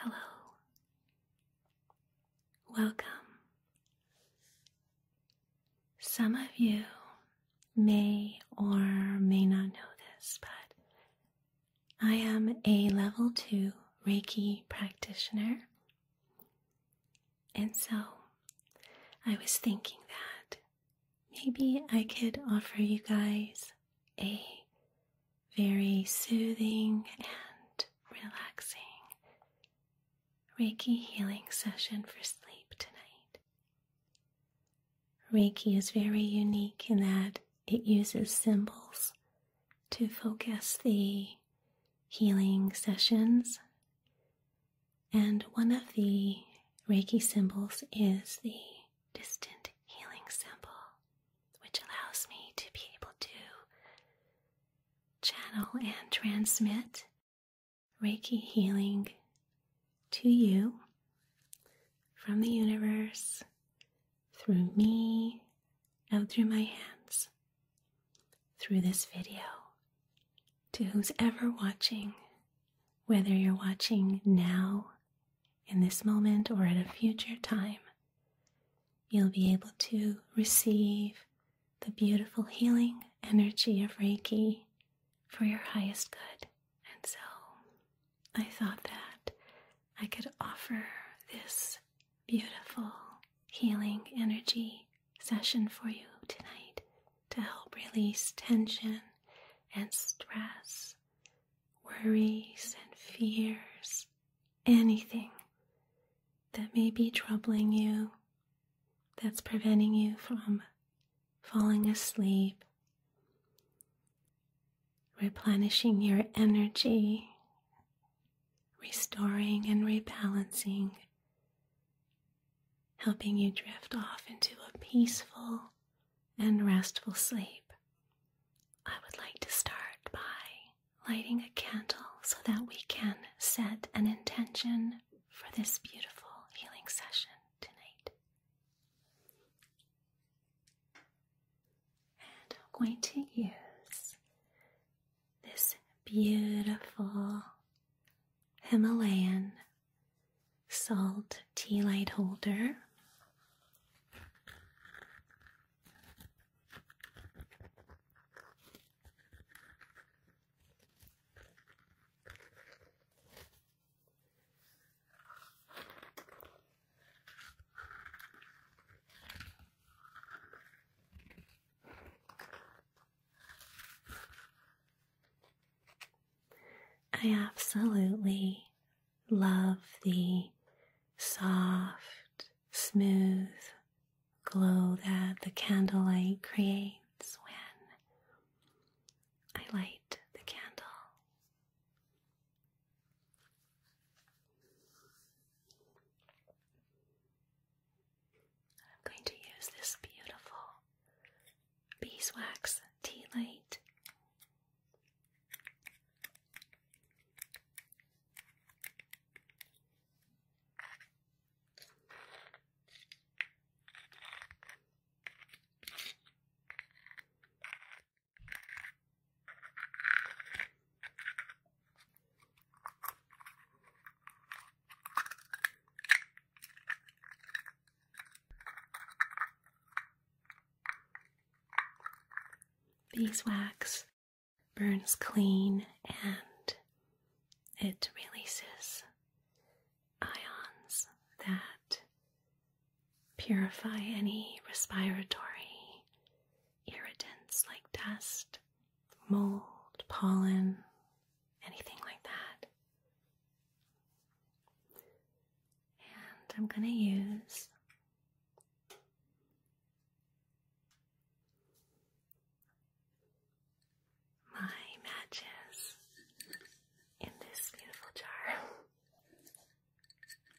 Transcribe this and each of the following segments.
Hello. Welcome. Some of you may or may not know this, but I am a level two Reiki practitioner. And so I was thinking that maybe I could offer you guys a very soothing and relaxing Reiki healing session for sleep tonight. Reiki is very unique in that it uses symbols to focus the healing sessions. And one of the Reiki symbols is the distant healing symbol, which allows me to be able to channel and transmit Reiki healing to you from the universe through me and through my hands, through this video, to who's ever watching, whether you're watching now in this moment or at a future time, you'll be able to receive the beautiful healing energy of Reiki for your highest good. And so, I thought that I could offer this beautiful healing energy session for you tonight to help release tension and stress, worries and fears, anything that may be troubling you, that's preventing you from falling asleep replenishing your energy, restoring and rebalancing, helping you drift off into a peaceful and restful sleep. I would like to start by lighting a candle so that we can set an intention for this beautiful healing session tonight. I'm going to use this beautiful Himalayan salt tea light holder. I absolutely love the soft, smooth glow that the candlelight creates when I light the candle. I'm going to use this beautiful beeswax tea light. Beeswax burns clean and it releases ions that Purify any respiratory irritants like dust, mold, pollen, anything like that. And I'm going to use my matches in this beautiful jar.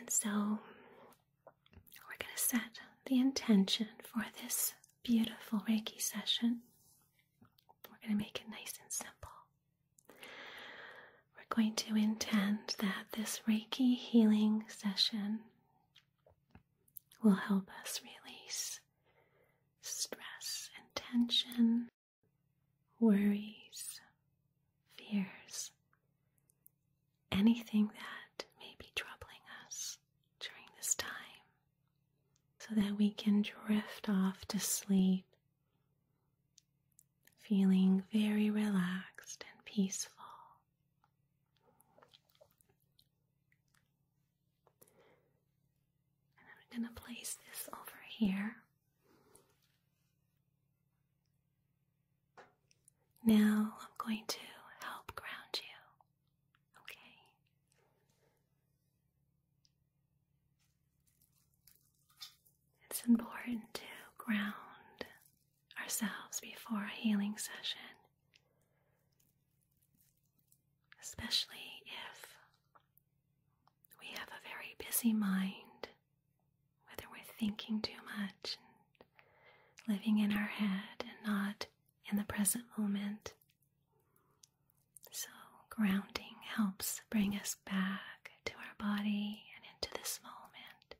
And so we're going to set the intention for this beautiful Reiki session we're going to make it nice and simple. We're going to intend that this Reiki healing session will help us release stress and tension, worries, fears, anything that may be troubling us during this time so that we can drift off to sleep, feeling very relaxed and peaceful. I'm going to place this over here. Now I'm going to help ground you. Okay? It's important to ground ourselves before a healing session, especially if we have a very busy mind, whether we're thinking too much and living in our head and not in the present moment. So, grounding helps bring us back to our body and into this moment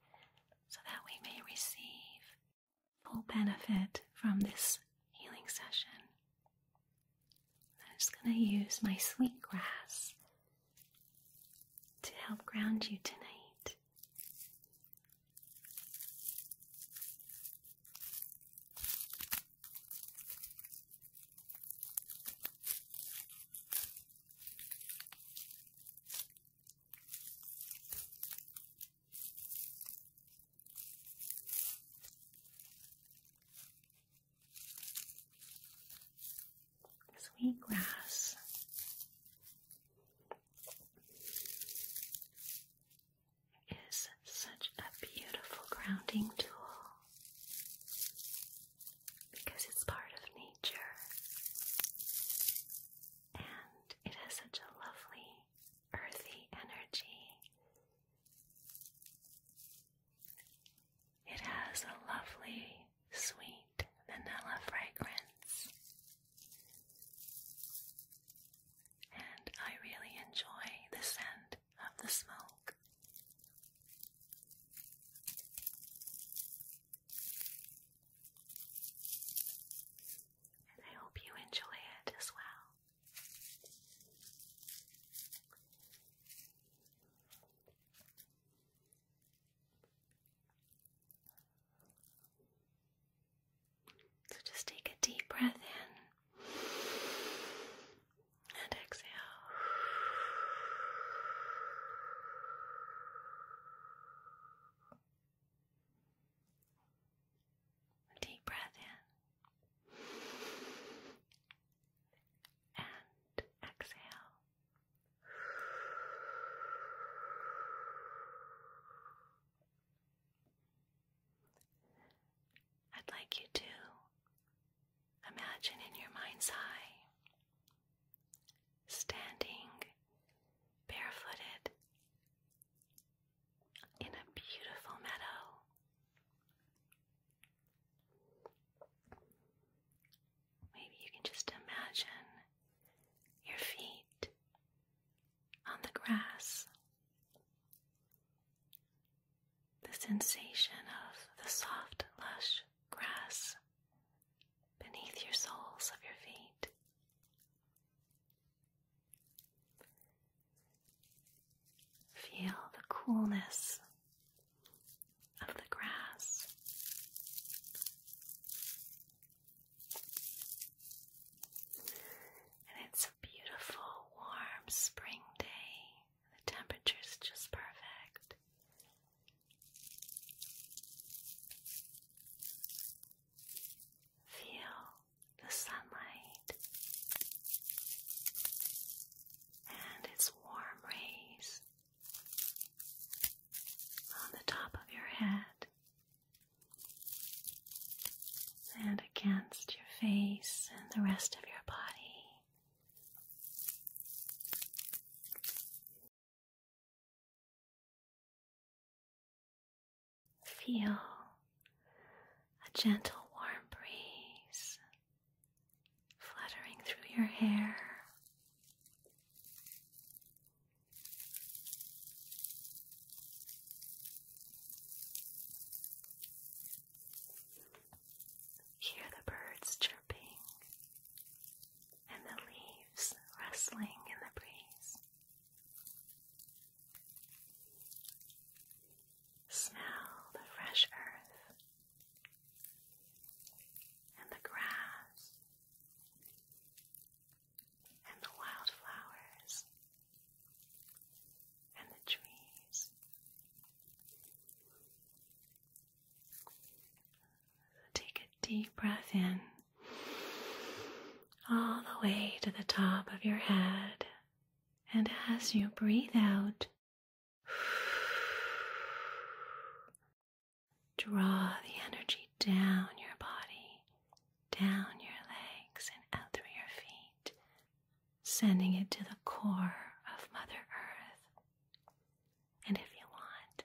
so that we may receive full benefit from this healing session. I'm just going to use my sweet grass to help ground you tonight. Sweet grass is such a beautiful grounding tool because it's part of nature and it has such a lovely earthy energy. It has a lovely sweet vanilla fragrance. And I really enjoy the scent of the smoke. And I hope you enjoy it as well. So just take a deep breath in and exhale. Deep breath in and exhale. I'd like you to Imagine in your mind's eye standing barefooted in a beautiful meadow. Maybe you can just imagine your feet on the grass the sensation of the soft, lush grass beneath your soles of your feet. Feel the coolness of the grass. And it's a beautiful, warm spring day. The temperature's just perfect. Feel the sunlight and its warm rays on the top of your head and against your face and the rest of your body. Feel a gentle warm breeze fluttering through your hair. Hear the birds chirping and the leaves rustling in the breeze. Smell the fresh earth and the grass and the wildflowers and the trees. Take a deep breath in, all the way to the top of your head, and as you breathe out, draw the energy down your body, down your legs, and out through your feet, sending it to the core of Mother Earth. And if you want,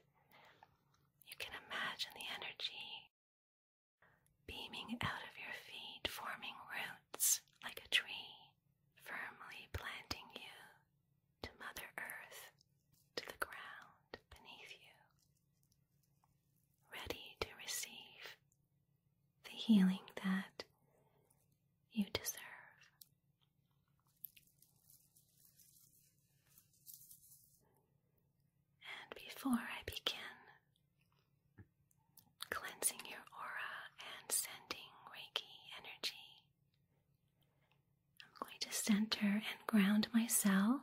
you can imagine the energy beaming out of your feet, forming roots like a tree, firmly planting you to Mother Earth, to the ground beneath you, ready to receive the healing that you deserve. And before I begin cleansing your aura and sending Reiki energy, I'm going to center and ground myself.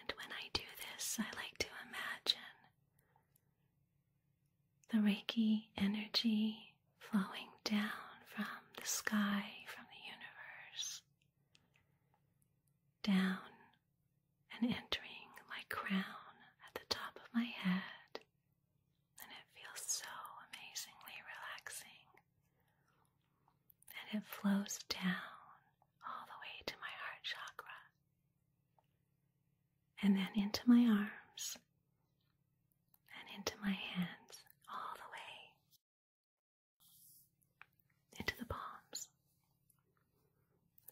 And when I do this, I like to imagine the Reiki energy flowing down from the sky, from the universe, down and entering my crown at the top of my head. And it feels so amazingly relaxing and it flows down all the way to my heart chakra and then into my arms and into my hands all the way into the palms.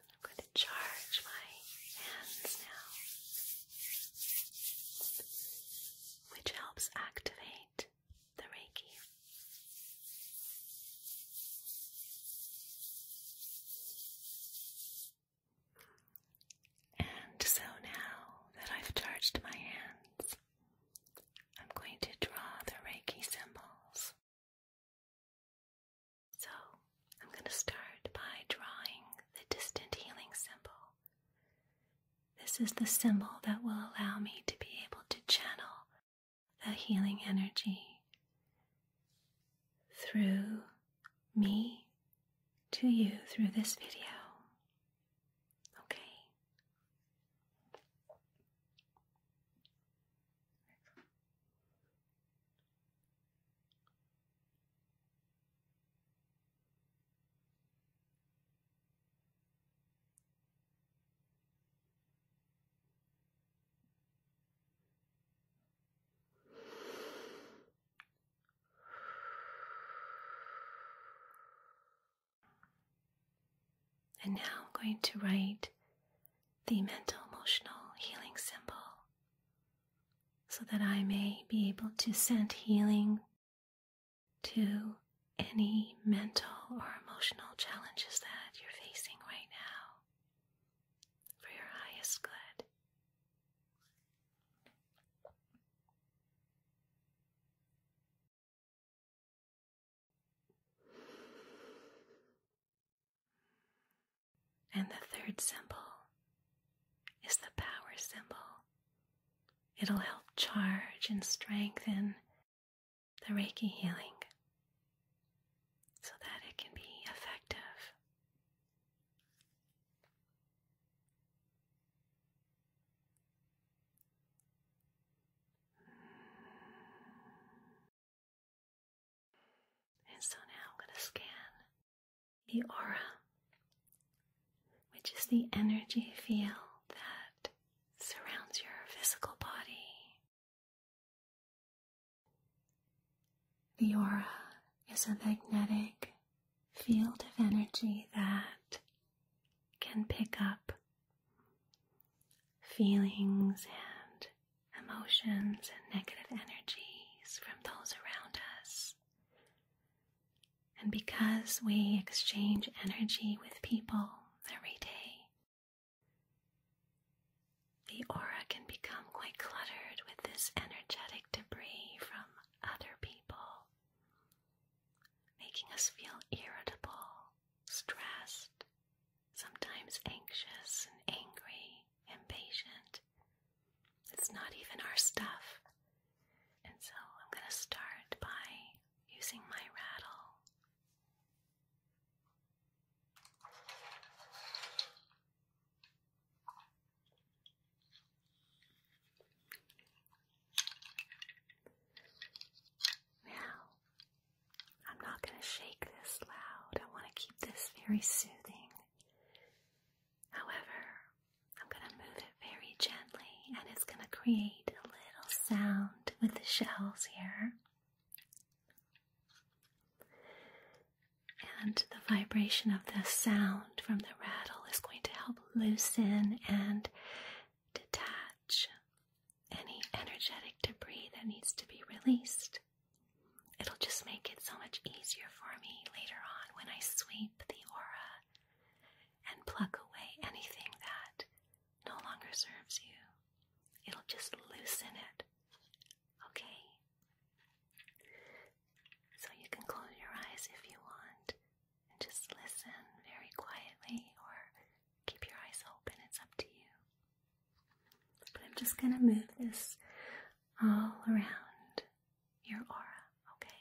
I'm going to charge my hands now, which helps activate the Reiki. And so now that I've charged my hands, I'm going to draw the Reiki symbols. So I'm going to start by drawing the distant healing symbol this is the symbol that will allow me to be able to channel the healing energy through me to you through this video. Okay. And now I'm going to write the mental emotional healing symbol so that I may be able to send healing to any mental or emotional challenges that you're facing right now for your highest good. And the third symbol is the power symbol. It'll help charge and strengthen the Reiki healing so that it can be effective. And so now I'm going to scan the aura, which is the energy field that surrounds your physical body. The aura is a magnetic field of energy that can pick up feelings and emotions and negative energies from those around us. And because we exchange energy with people, every day. The aura can become quite cluttered with this energetic debris from other people, making us feel irritable, stressed, sometimes anxious and angry, impatient. It's not even our stuff. And so I'm going to start by using my rattle now, I'm not going to shake this loud. I want to keep this very soothing. However, I'm going to move it very gently and it's going to create a little sound with the shells here. And the vibration of the sound from the rattle is going to help loosen and detach any energetic debris that needs to be released. It'll just make it so much easier for me later on when I sweep the aura and pluck away anything that no longer serves you. It'll just loosen it. Okay? So you can close your eyes if you want and just listen very quietly or keep your eyes open. It's up to you. But I'm just going to move this all around your aura, okay?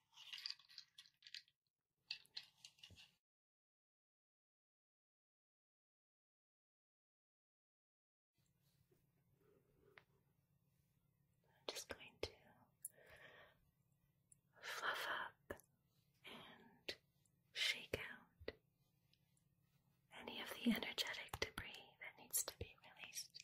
I'm just going to fluff up and shake out any of the energetic debris that needs to be released.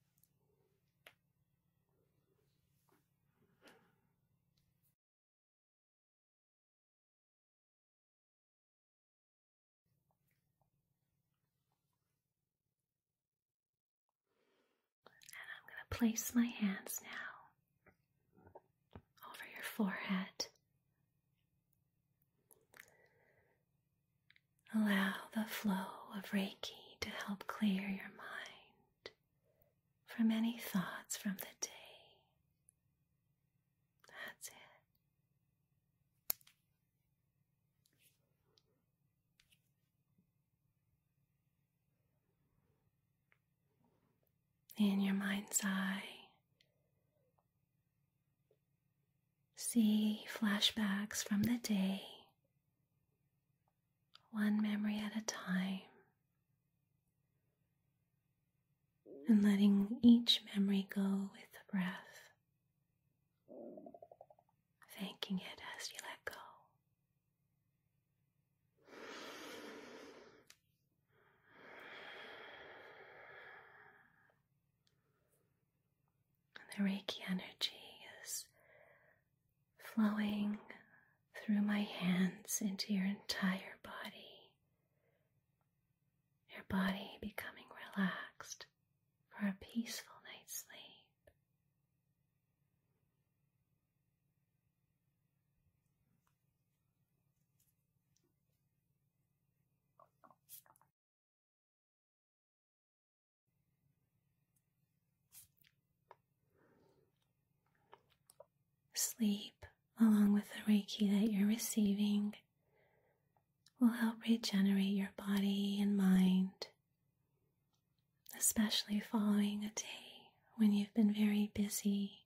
And I'm going to place my hands now over your forehead. Allow the flow of Reiki to help clear your mind from any thoughts from the day. That's it. In your mind's eye, see flashbacks from the day one memory at a time, and letting each memory go with the breath, thanking it as you let go. And the Reiki energy is flowing through my hands into your entire body, your body becoming relaxed for a peaceful night's sleep. Sleep, along with the Reiki that you're receiving, will help regenerate your body and mind, especially following a day when you've been very busy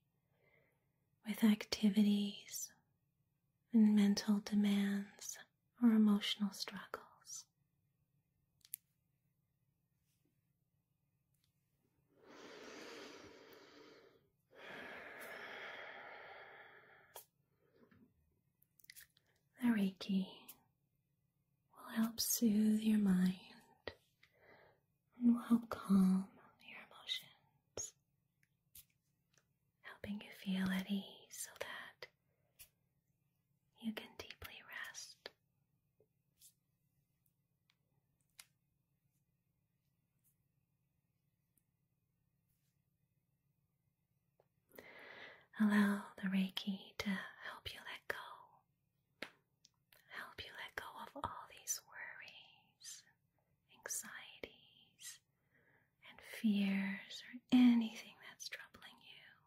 with activities and mental demands or emotional struggles. The Reiki will help soothe your mind and will help calm your emotions, helping you feel at ease so that you can deeply rest. Allow the Reiki to help you let go, help you let go of all these worries, anxieties, and fears, or anything that's troubling you.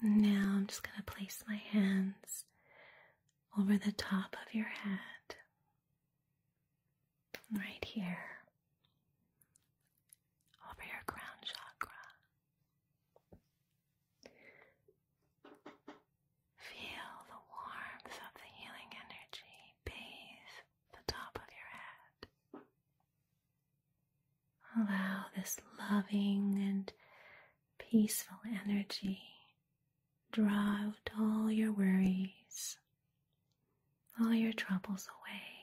Now I'm just going to place my hands over the top of your head, right here, over your crown chakra. Feel the warmth of the healing energy bathe the top of your head. Allow this loving and peaceful energy draw out all your worries, all your troubles away,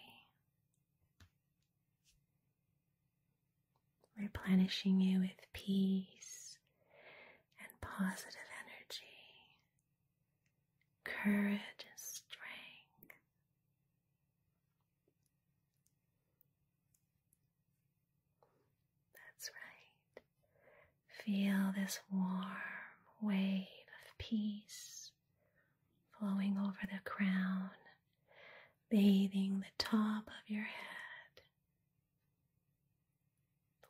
replenishing you with peace and positive energy, courage and strength, that's right. Feel this warm wave of peace flowing over the crown, bathing the top of your head,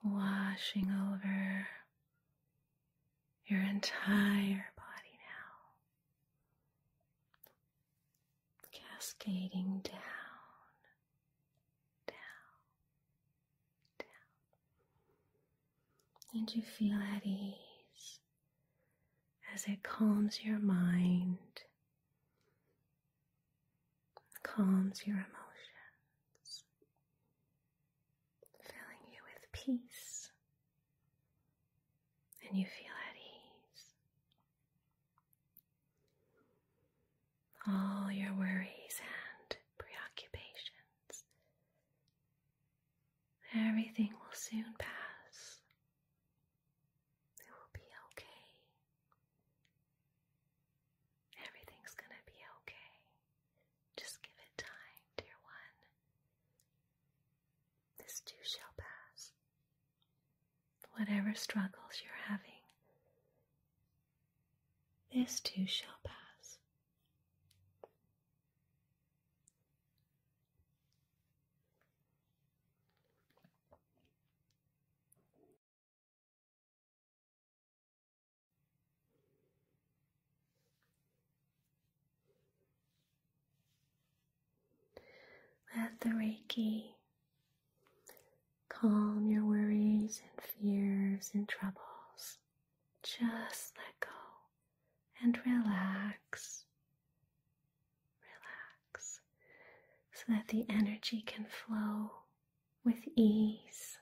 washing over your entire body now cascading down, down, down. And you feel at ease as it calms your mind, calms your emotions, filling you with peace. And you feel at ease all your worries and preoccupations. Everything will soon pass. It will be okay. Everything's gonna be okay. Just give it time, dear one. This too shall pass. Whatever struggles you're having, this too shall pass. Let the Reiki calm your worries and fears and troubles. Just let go and relax. Relax so that the energy can flow with ease.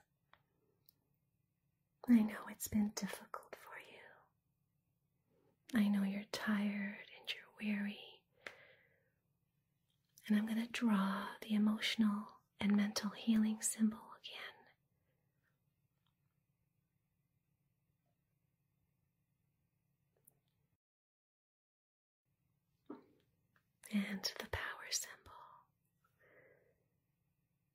I know it's been difficult for you. I know you're tired and you're weary. And I'm going to draw the emotional and mental healing symbol again. and the power symbol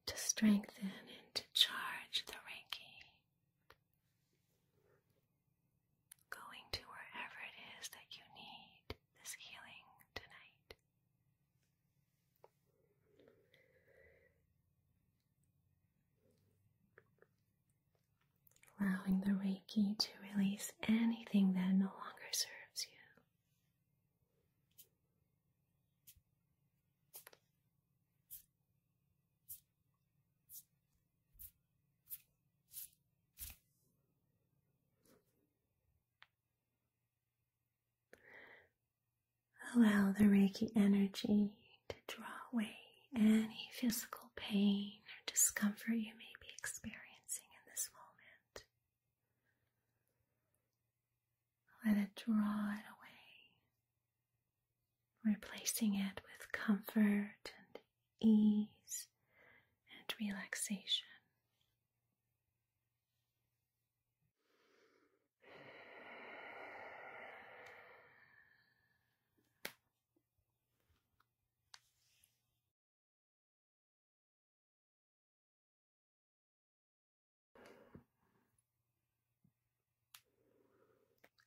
to strengthen and to charge the Reiki Going to wherever it is that you need this healing tonight. Allowing the Reiki to release anything that no longer serves you. Allow the Reiki energy to draw away any physical pain or discomfort you may be experiencing in this moment. Let it draw it away replacing it with comfort and ease and relaxation.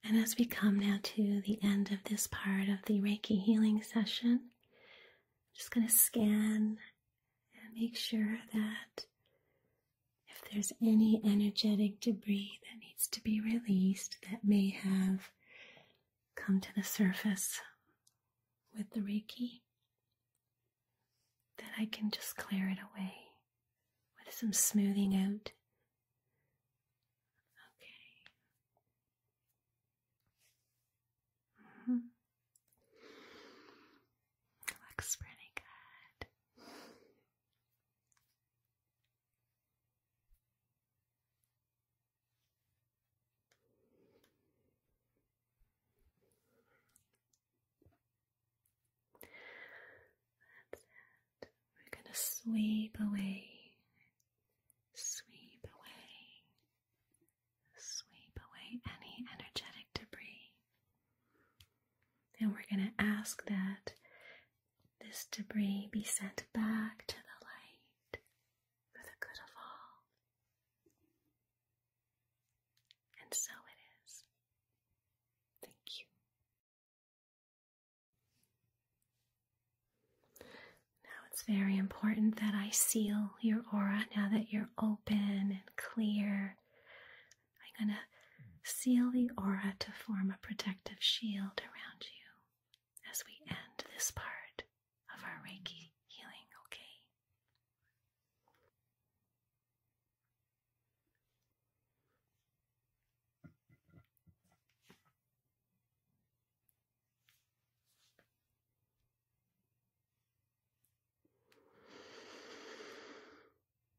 And as we come now to the end of this part of the Reiki healing session, I'm just going to scan and make sure that if there's any energetic debris that needs to be released that may have come to the surface with the Reiki, that I can just clear it away with some smoothing out Okay. Mm -hmm. Looks pretty good. That's it we're going to sweep away, sweep away, sweep away any energetic debris. And we're going to ask that this debris be sent back to the light for the good of all. And so it is. Thank you. Now it's very important that I seal your aura now that you're open and clear. I'm going to seal the aura to form a protective shield around you as we end this part of our Reiki healing, okay?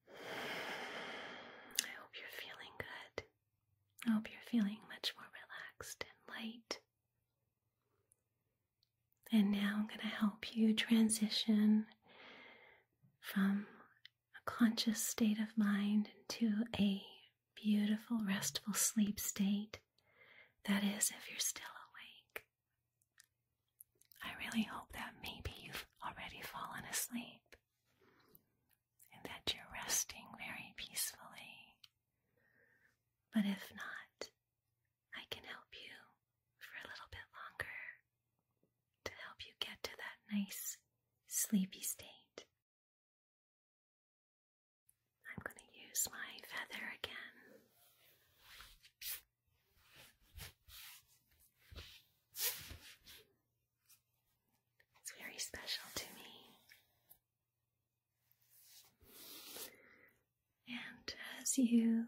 I hope you're feeling good. I hope you're feeling much more relaxed and light. And now I'm going to help you transition from a conscious state of mind into a beautiful, restful sleep state. That is, if you're still awake. I really hope that maybe you've already fallen asleep and that you're resting very peacefully. But if not, I can help you for a little bit longer to help you get to that nice sleepy state. I'm going to use my feather again. It's very special to me. And as you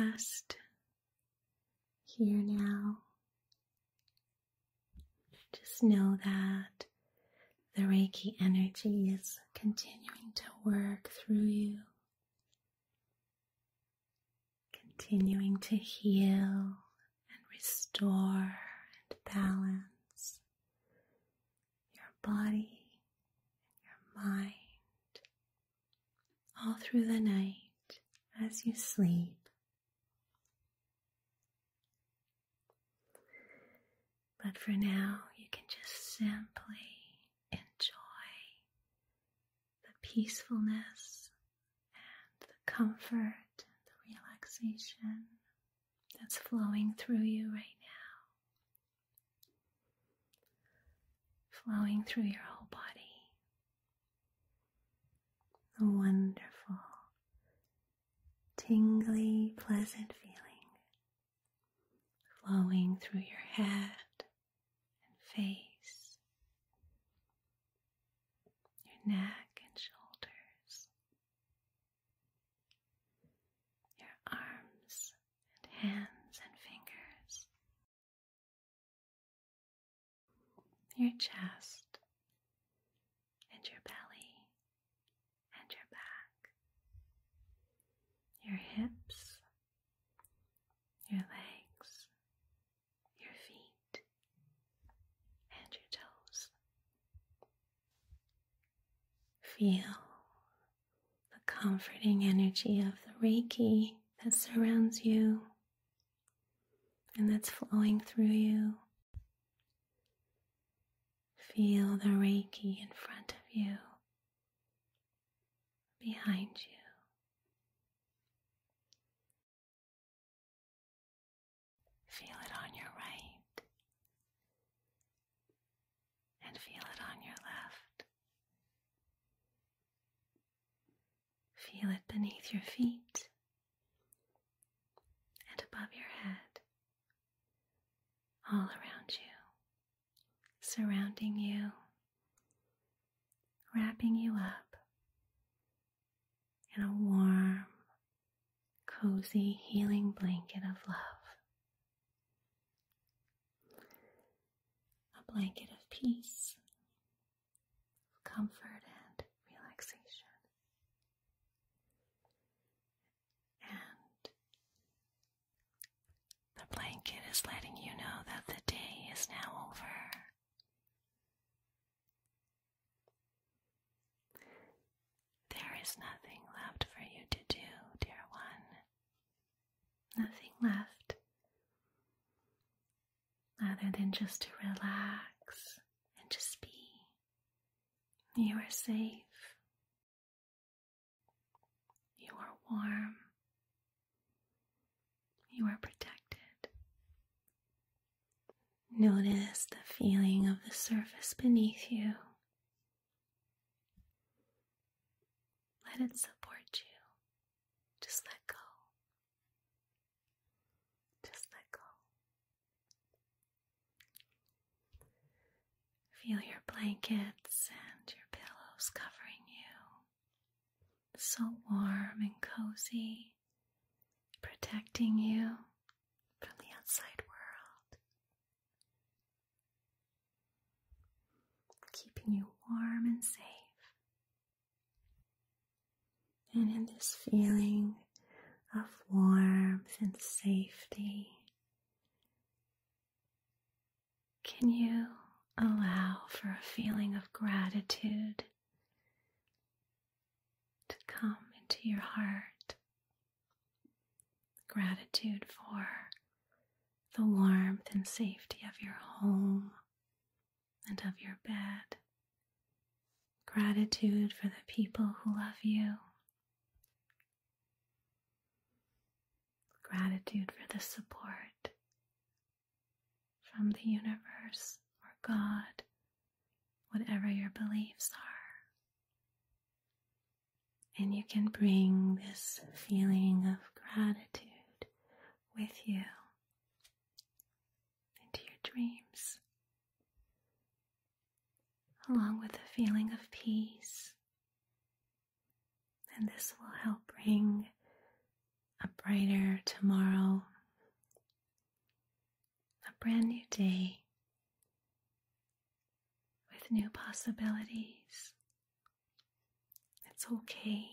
rest here now just know that the Reiki energy is continuing to work through you, continuing to heal and restore and balance your body and your mind all through the night as you sleep but for now, you can just simply enjoy the peacefulness and the comfort and the relaxation that's flowing through you right now, flowing through your whole body. The wonderful tingly, pleasant feeling flowing through your head and face, your neck and shoulders, your arms and hands and fingers, your chest and your belly and your back, your hips, your legs, your feet, and your toes. Feel the comforting energy of the Reiki that surrounds you and that's flowing through you. Feel the Reiki in front of you, behind you. Feel it on your right and feel it on your left. Feel it beneath your feet and above your head, all around you, surrounding you, wrapping you up in a warm, cozy, healing blanket of love. A blanket of peace, comfort, and relaxation. And the blanket is letting you know that the day is now over. There is nothing left for you to do, dear one. Nothing left other than just to relax and just be. You are safe. You are warm. You are protected. Notice the feeling of the surface beneath you. Let it support you. Just let go. Just let go. Feel your blankets and your pillows covering you. So warm and cozy, protecting you from the outside world, keeping you warm and safe. And in this feeling of warmth and safety. Can you allow for a feeling of gratitude to come into your heart? Gratitude for the warmth and safety of your home and of your bed. Gratitude for the people who love you Gratitude for the support from the universe or God, whatever your beliefs are. And you can bring this feeling of gratitude with you into your dreams along with a feeling of peace. And this will help bring a brighter tomorrow, a brand new day with new possibilities. It's okay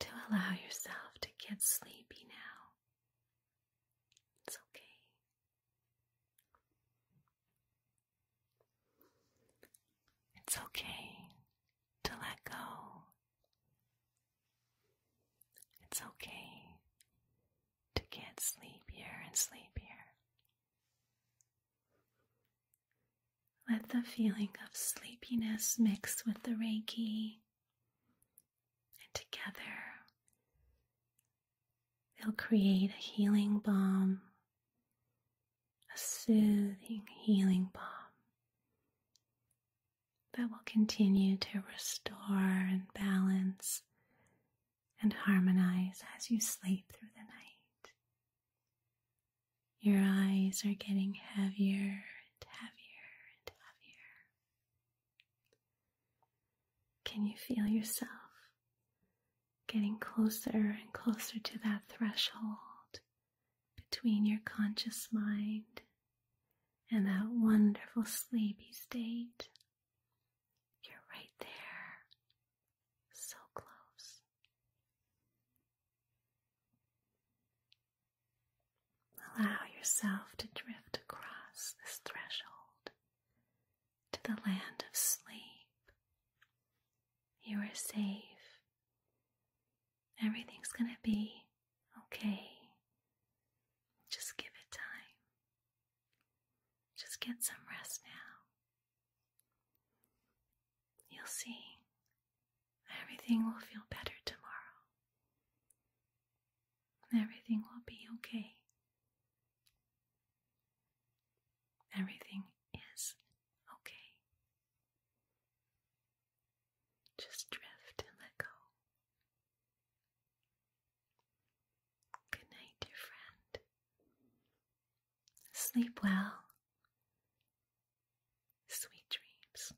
to allow yourself to get sleepy now. It's okay. It's okay to let go. It's okay to get sleepier and sleepier. Let the feeling of sleepiness mix with the Reiki and together, they'll create a healing balm, a soothing healing balm that will continue to restore and balance and harmonize as you sleep through the night. Your eyes are getting heavier and heavier and heavier. Can you feel yourself getting closer and closer to that threshold between your conscious mind and that wonderful sleepy state? You're right there, so close. Allow yourself to drift across this threshold to the land of sleep. You are safe. Everything's going to be okay. Just give it time. Just get some rest now. You'll see. Everything will feel better tomorrow. Everything will be okay. Everything is okay. Just drift and let go. Good night, dear friend. Sleep well. Sweet dreams.